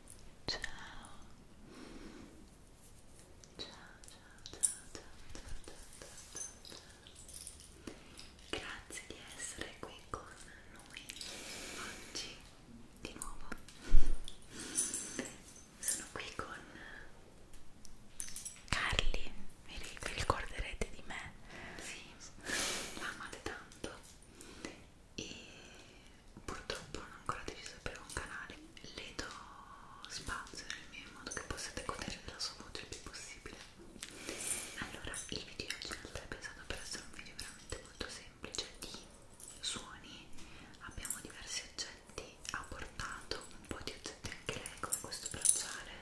ciao ciao ciao ciao ciao ciao ciao ciao ciao grazie di essere qui con noi oggi di nuovo sono qui con Carli vi ricorderete di me? Sì, l'amate tanto e purtroppo non ho ancora deciso per un canale le do spazio nel mio in modo che possiate godere della sua voce il più possibile allora il video è pensato per essere un video veramente molto semplice di suoni abbiamo diversi oggetti ha portato un po' di oggetti anche lei come questo bracciale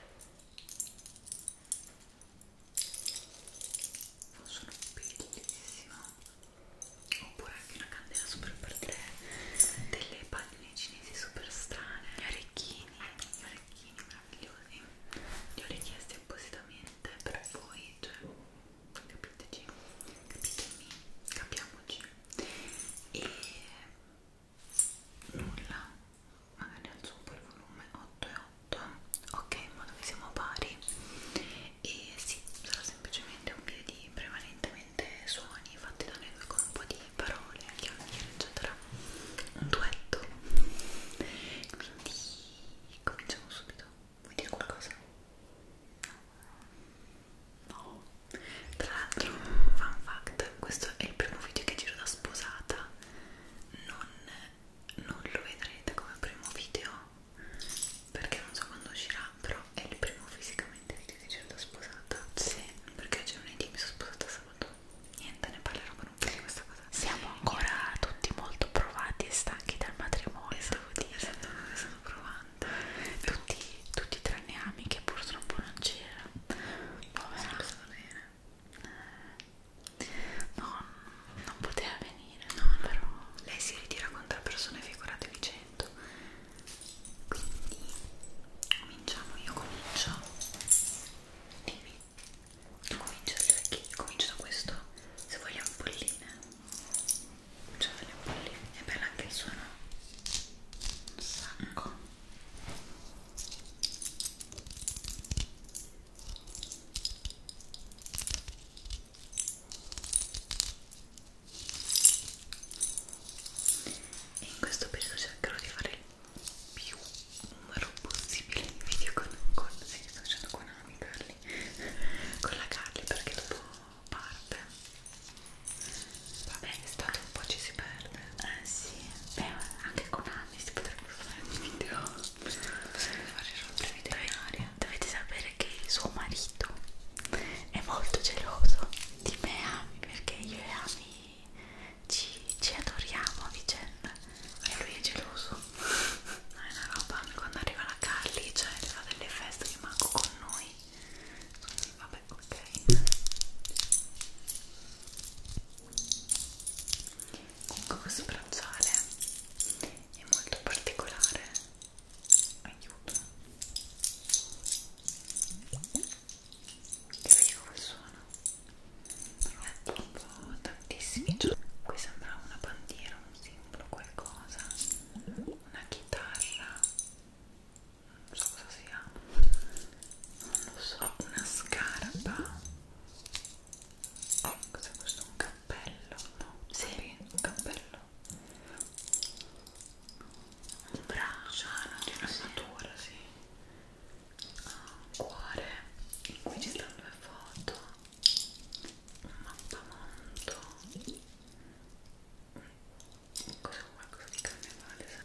sono bellissima oppure anche una candela super per te delle palline cinesi super strane gli orecchini gli orecchini meravigliosi li ho richiesti appositamente per voi cioè capiteci capitemi capiamoci e nulla magari alzo un po' il volume 8 e esatto ok ma noi siamo pari e sì sarà semplicemente un video di prevalentemente suoni fatti da noi due con un po' di parole chiacchiere eccetera un duetto quindi cominciamo subito vuoi dire qualcosa? no tra l'altro fun fact questo è il primo video che giro da sposata non non lo vedrete come primo video perché non so quando uscirà però è il primo fisicamente video di Gerda sposata sì perché oggi lunedì mi sono sposata sabato niente ne parlerò con un po' di questa cosa siamo ancora niente. tutti molto provati e stanchi dal matrimonio stavo esatto, dire esatto, sono, sono provando tutti, tutti tranne Ami che purtroppo non c'era povera eh, No, non poteva venire, no, no. però lei si ritira con tre persone, figuratevi 100. Quindi cominciamo, io comincio. Dimmi. Tu cominci da cioè Comincio da questo, se vuoi le ampolline. Cominciamo le ampolline. È bello anche il suono. Un sacco. Mm e in questo periodo cercherò di fare il più numero possibile di video con, con sì, sto facendo con Ami Carly con la Carly perché dopo parte vabbè l'estate un po' ci si perde eh sì beh anche con Ami si potrebbe fare un video possiamo fare rompere veterinaria dovete sapere che suo marito è molto geloso di me e Ami perché io e Ami ci, ci adoriamo a vicenda e lui è geloso no, è una roba quando arriva la Carly cioè le fa delle feste che manco con noi vabbè ok comunque questo bracciale è molto particolare aiuto sentite come suona è proprio tantissimi qui sembra una bandiera, un simbolo, qualcosa una chitarra non so cosa sia non lo so, una scarpa Cos'è questo? Un cappello? No? Sì, Capì? un cappello. Un braccio di un'armatura, sì. sì. Ah, un cuore. In cui ci stanno le foto. Un mappamonto. Cos'è qualcosa di carnevale?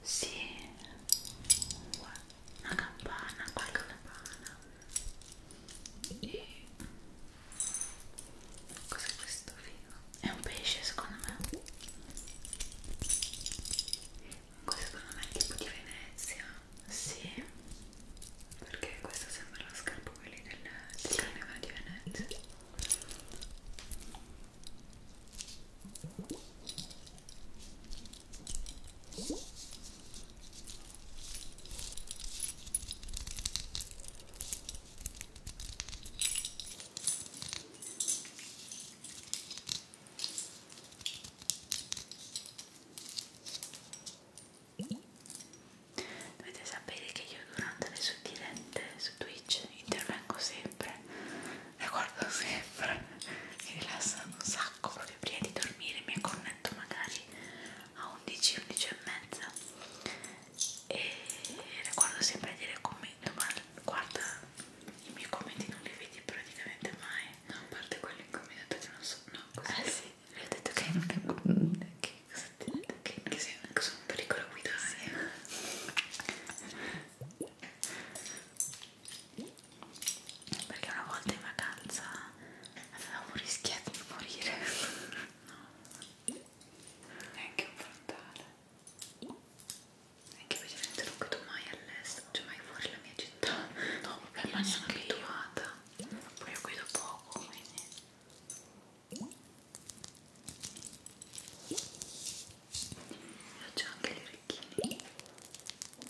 Sì. Guarda una campana, qualche campana e cos'è questo figo? È un pesce secondo me questo secondo me è tipo di Venezia sì perché questa sembra la scarpa quelli del, del carnevale di Venezia Dovete sapere che io durante le sue dirette su Twitch intervengo sempre, le guardo sempre, mi rilassano un sacco che prima di dormire mi acconnetto magari a 11, 11 e mezza e ricordo sempre a dire commento ma guarda i miei commenti non li vedi praticamente mai no, a parte quelli in cui mi hai detto che non so no, così ah sì, mi ho detto che non che cosa ti ho detto che, che sei, sono un pericolo guidare sì. perché una volta in vacanza avevamo rischiato di morire neanche un frontale neanche ovviamente non vedo mai all'estero cioè mai fuori la mia città no perché non sono abituata poi io guido poco quindi io ho anche gli orecchini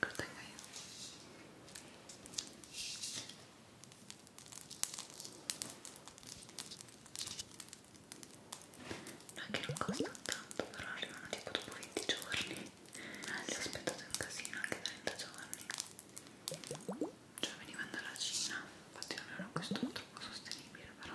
Lo tengo yo. No, che non costa tanto, però arrivano tipo dopo 20 giorni. Eh, ah, li ho aspettato un casino anche 30 giorni. Cioè venivano dalla Cina, infatti non era questo troppo sostenibile, però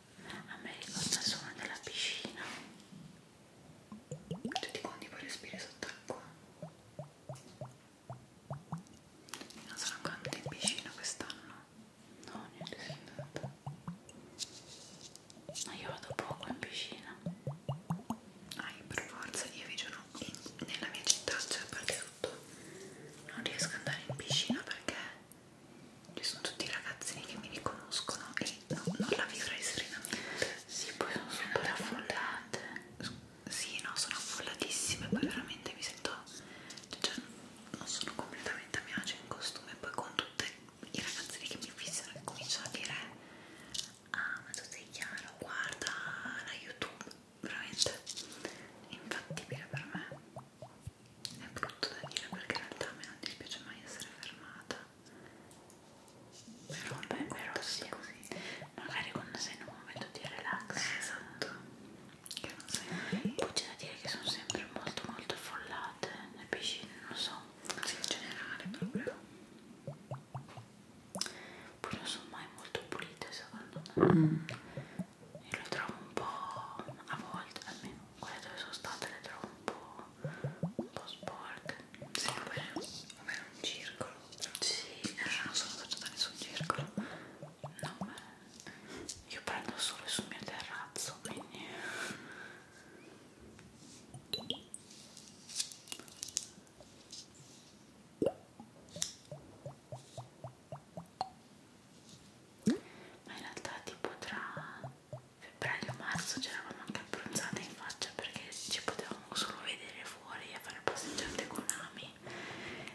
a me ricorda il suono della piscina tutti quanti poi respiri sott'acqua non sono ancora andata in piscina quest'anno no, niente, sono andata ma no, io vado poco in piscina ah, io per forza, io vi giuro nella mia città, cioè per tutto non riesco ad andare in piscina perché sono tutti ragazzini che mi riconoscono e no, non la vivrei serenamente sì poi sono super affollate sì no sono affollatissime poi veramente mi sento cioè non sono completamente a mio agio in costume poi con tutti i ragazzini che mi fissano e cominciano a dire ah ma tu sei chiaro guarda la youtube veramente infattibile per me è brutto da dire perché in realtà a me non dispiace mai essere fermata però, Beh, però sì, così. magari quando sei in un momento di relax esatto che non sai mai poi c'è da dire che sono sempre molto molto affollate le piscine non so in generale proprio poi non sono mai molto pulite secondo me mm. e lo trovo un po' a volte almeno quelle dove sono state le trovo un po' un po' sporca. Sì, va bene, va bene, un circolo. Sì, eh, non sono faccio da nessun circolo. No, beh, io prendo solo sul mio terrazzo, quindi... Eh. Ma in realtà tipo tra però io a marzo c'eravamo anche abbronzate in faccia perché ci potevamo solo vedere fuori a fare passeggiate con Ami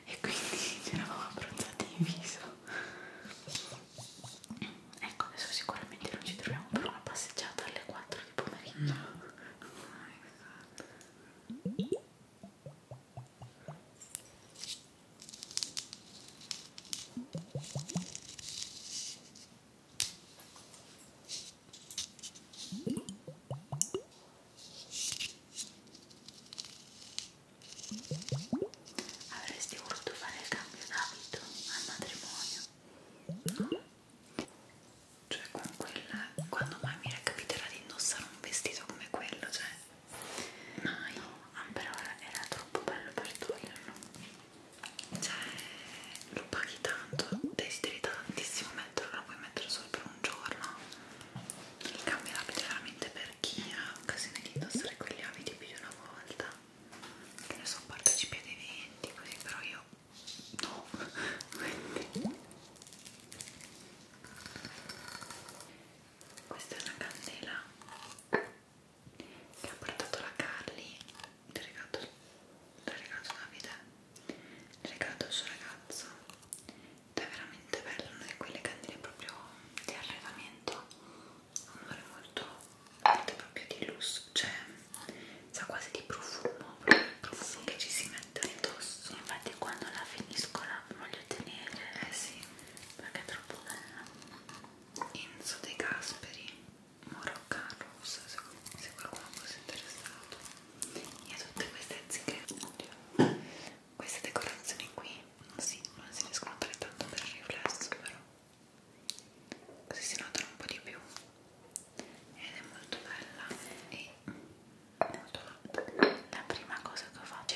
e quindi c'eravamo abbronzate in viso ecco adesso sicuramente non ci troviamo per una passeggiata alle 4 di pomeriggio no. oh my God. Avresti voluto fare il cambio d'abito al matrimonio? No? Cioè con quella, quando mai mi capiterà di indossare un vestito come quello, cioè mai, no, però era troppo bello per toglierlo cioè lo paghi tanto, desideri tantissimo metterlo, lo puoi mettere solo per un giorno il cambio abito veramente per chi ha occasione di indossare quegli abiti più di una volta che ne so, partecipi ad eventi così, però io no quindi questa è una candela che ha portato la Carly l'ha regalato, regalato Davide l'ha regalato il suo ragazzo ed è veramente bello una di quelle candele proprio di arredamento ha un odore molto forte proprio di lusso cioè sa quasi di profumo proprio il profumo sì. che ci si mette addosso infatti quando la finisco la voglio tenere eh sì perché è troppo bella Enzo De Gasperi Moroccan Rose se, se qualcuno fosse interessato e a tutte queste zingare queste decorazioni qui non si, non si riescono a fare tanto per il riflesso però così si notano un po' di più ed è molto bella e molto la prima cosa che ho fatto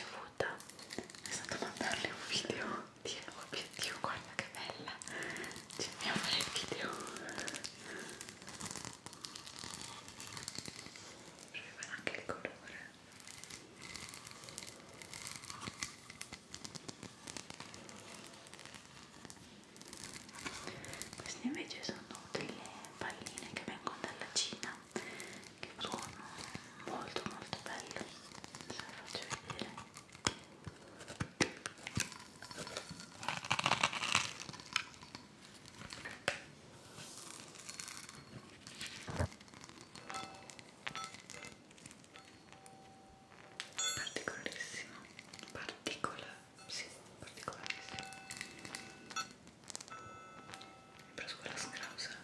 è stata mandarle un video Oddio, obiettivo, guarda che bella! Ci dobbiamo fare il video. Arriva anche il colore. Queste invece sono delle palline che vengono dalla Cina che sono molto molto bello se lo faccio vedere particolarissimo particola sì, particolarissimo ho preso quella scrausa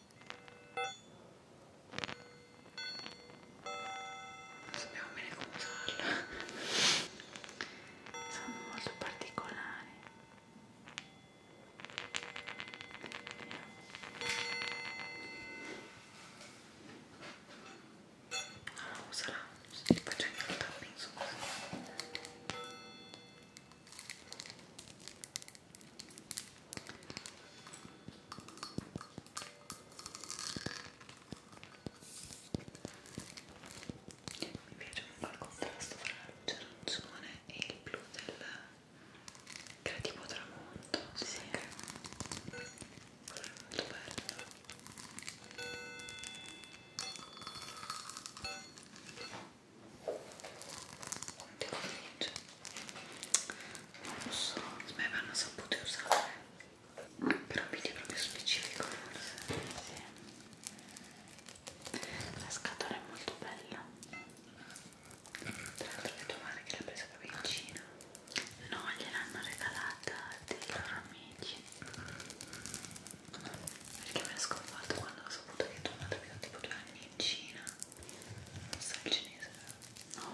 non sappiamo bene come usarla sono molto particolari non lo userà li faccio anche un tapping su così mi piace molto il contrasto tra la luce arancione e il blu del creativo tramonto. Sì, sì. Che... Quello è molto bello. Quanti colori c'è? non so, me vanno sapute usare per un video proprio specifico forse sì. la scatola è molto bella tra l'altro vedo male che l'ha presa proprio in Cina no, gliel'hanno regalata dei loro amici perché mi ha sconvolto quando ho saputo che tua madre abitava tipo due anni in Cina non so il cinese no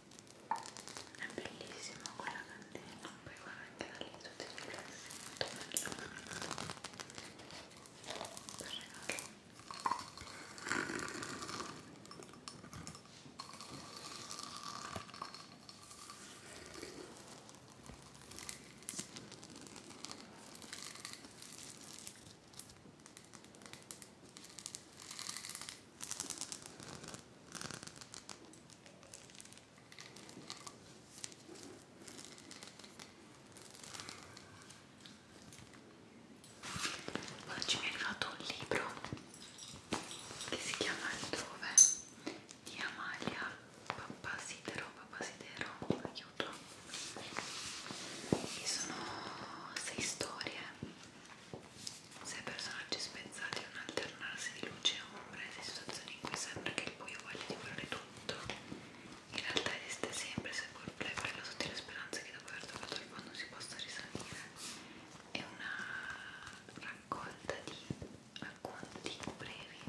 è bellissima quella candela poi guarda anche da lì tutti i riflessi molto bello per regalo Oggi mi è arrivato un libro che si chiama Altrove di Amalia Papasidero, Papasidero, aiuto. E sono sei storie se i personaggi spezzati in un alternarsi di luce e ombre, le situazioni in cui sembra che il buio voglia divorare tutto, in realtà esiste sempre, seppur breve, la sottile speranza che dopo aver trovato il fondo si possa risalire. È una raccolta di racconti brevi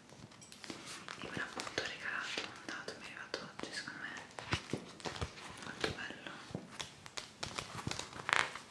e me l'ha appunto regalato, mandato, mi è arrivato oggi secondo me molto bello fatto anche la lega molto carina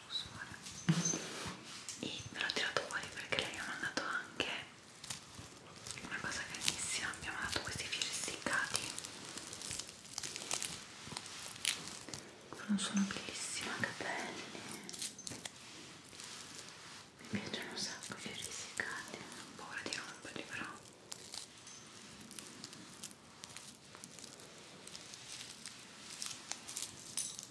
lo suona e me l'ho tirato fuori perché lei ha mandato anche una cosa carissima mi ha mandato questi fiori essiccati non sono bellissima capelli mi piacciono un sacco i fiori essiccati ho paura di romperli però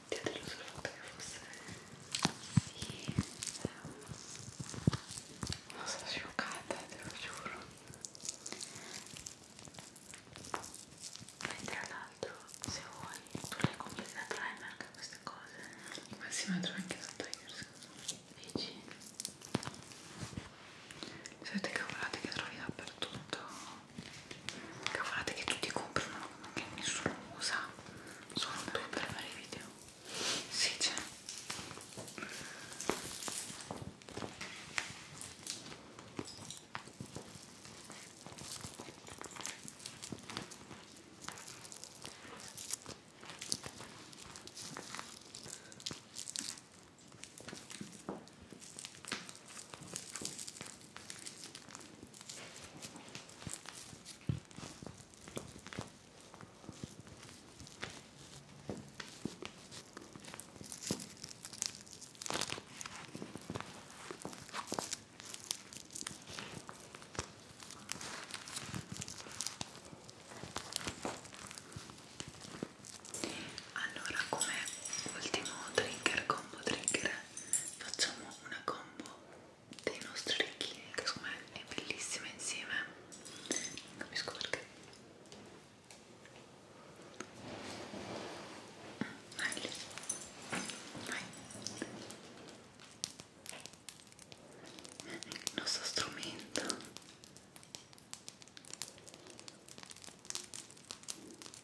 ti ho deluso il fatto che fosse sì ehm, non sono scioccata te lo giuro mentre l'altro se vuoi tu l'hai completato l'hai anche queste cose ma si ma trovo anche sotto io dici siete cavolate che trovi dappertutto cavolate che tutti comprano ma che nessuno usa sono due per fare i video sì c'è allora, come ultimo trigger, combo trigger, facciamo una combo dei nostri orecchini che secondo me è bellissima insieme non capisco perché vai lì vai il nostro strumento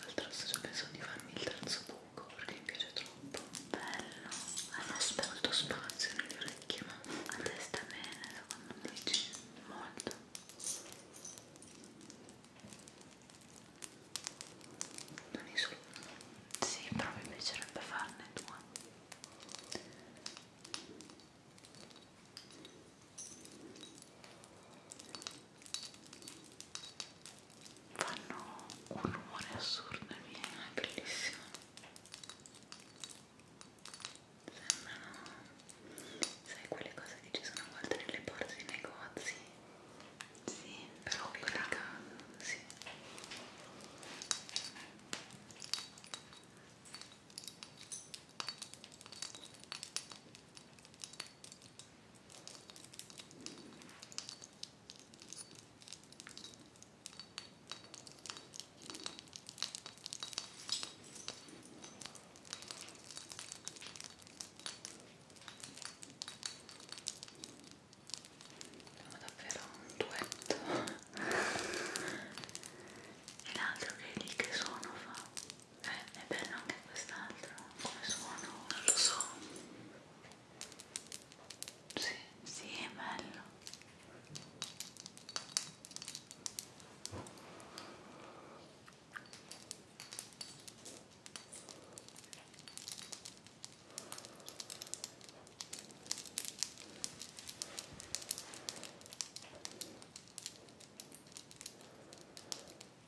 L'altro stesso penso di farmi il terzo buco perché mi piace troppo. Bello, hai ah, molto, molto spazio nelle orecchie, ma a te sta bene secondo me. Dici? Molto. Non è solo uno. Sì, però mi piacerebbe farne due fanno un rumore assurdo e viene bellissimo sembrano sai quelle cose che ci sono a volte nelle porte dei negozi sì, però piccata sì siamo davvero un duetto e l'altro che lì che sono fa eh, è bello anche quest'altro, come suono, non lo so. Sì, sì, è bello.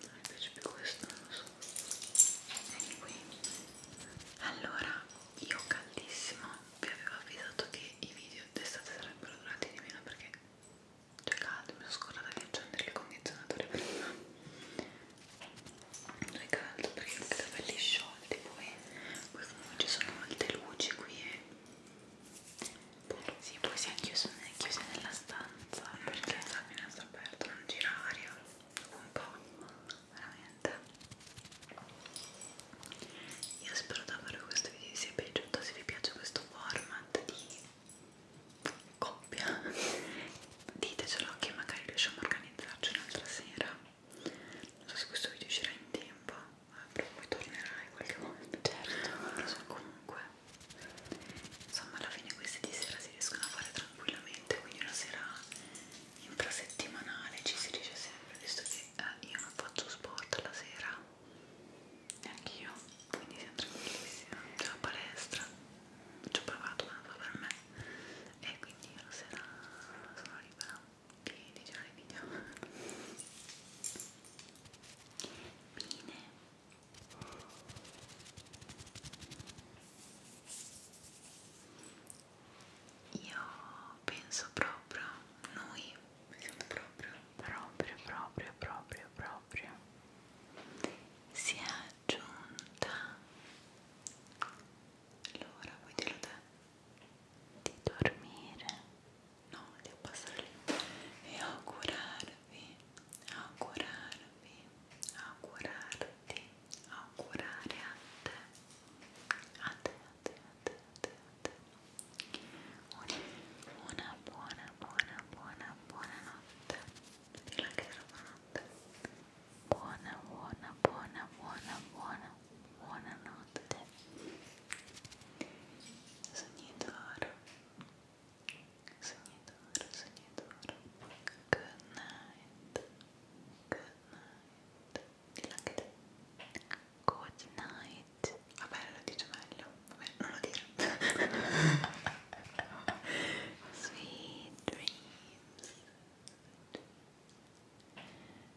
non mi piace più questo, non lo so vieni qui allora, io caldissimo vi avevo avvisato che i video d'estate sarebbero durati di meno perché c'è caldo, mi sono scordata di accendere il condizionatore prima non è caldo perché ho i capelli sciolti poi, poi comunque ci sono molte luci qui e eh. Sì, poi si è chiuso, chiusa nella stanza perché la finestra aperta, non gira aria un po', veramente. Io spero davvero che questo video vi sia piaciuto, se vi piace questo format di coppia, ditecelo che magari riusciamo a organizzarci un'altra sera. Non so se questo video uscirà in tempo prima poi tornerai qualche volta certo lo so comunque insomma alla fine questi di sera si riescono a fare tranquillamente quindi una sera infrasettimanale ci si dice sempre visto che eh, io non faccio sport alla sera neanche io quindi siamo tranquillissimi c'è la palestra ci ho provato ma non fa per me e quindi io la sera sono libera di, di girare video bene io penso proprio noi siamo proprio proprio proprio proprio proprio si è aggiunta l'ora, vuoi dirlo te? di dormire no, devo passare lì e augurarvi, augurarvi, augurarti, augurare a te, a te, a te, a te, a te, a te. Una, una buona, buona, buona, buona notte, rilassare buonanotte, buona, buona, buona, buona, buona Buonanotte, sognatore, sognatore, sognatore. Good night, good night. Good night. Vabbè, ah, lo dice meglio. Vabbè, non lo dire. Sweet dreams.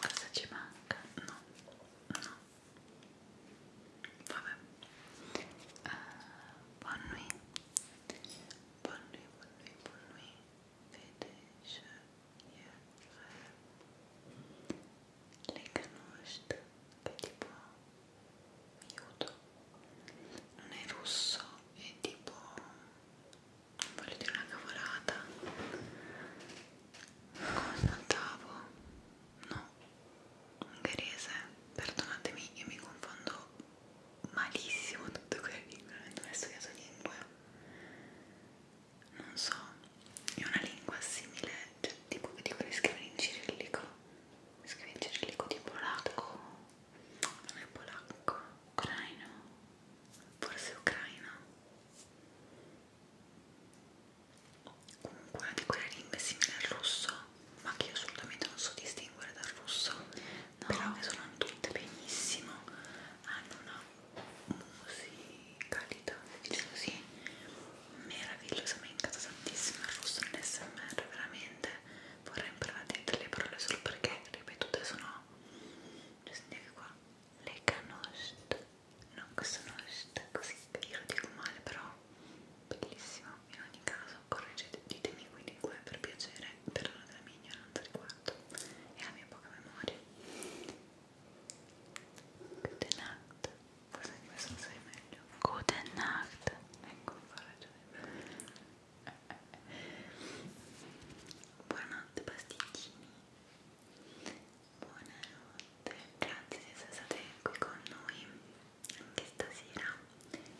cosa ci manca? no, no vabbè uh, eh, buon nuit buon nuit, buon nuit, buon nuit finish your le canosht che tipo aiuto non è russo è tipo voglio dire una cavolata come smaltavo no ungherese perdonatemi io mi confondo malissimo tutte quelle lingue non ho studiato lingue non so è una lingua simile cioè tipo che dicono scrivere in cirillico scrivere in cirillico di polacco non è polacco ucraino forse ucraino comunque una di quelle lingue simile al russo ma che io assolutamente non so distinguere dal russo no. però che suonano tutte benissimo hanno una musicalità diciamo così meravigliosa mi è incata tantissimo il russo nell'SMR veramente vorrei imparare delle parole solo perché ripetute sono cioè sentite qua le canoste non sono riuscita così che io lo dico male però bellissimo in ogni caso correggete ditemi qui di qua per piacere per la della mia ignoranza riguardo e la mia poca memoria good night forse anche questo lo sai meglio good night ecco mi fa ragione buonanotte pasticcini Buonanotte, grazie di essere stati qui con noi anche stasera.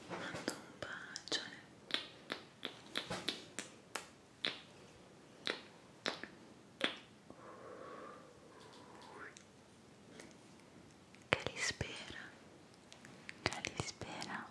Mando un bacione. Calispera, Calispera.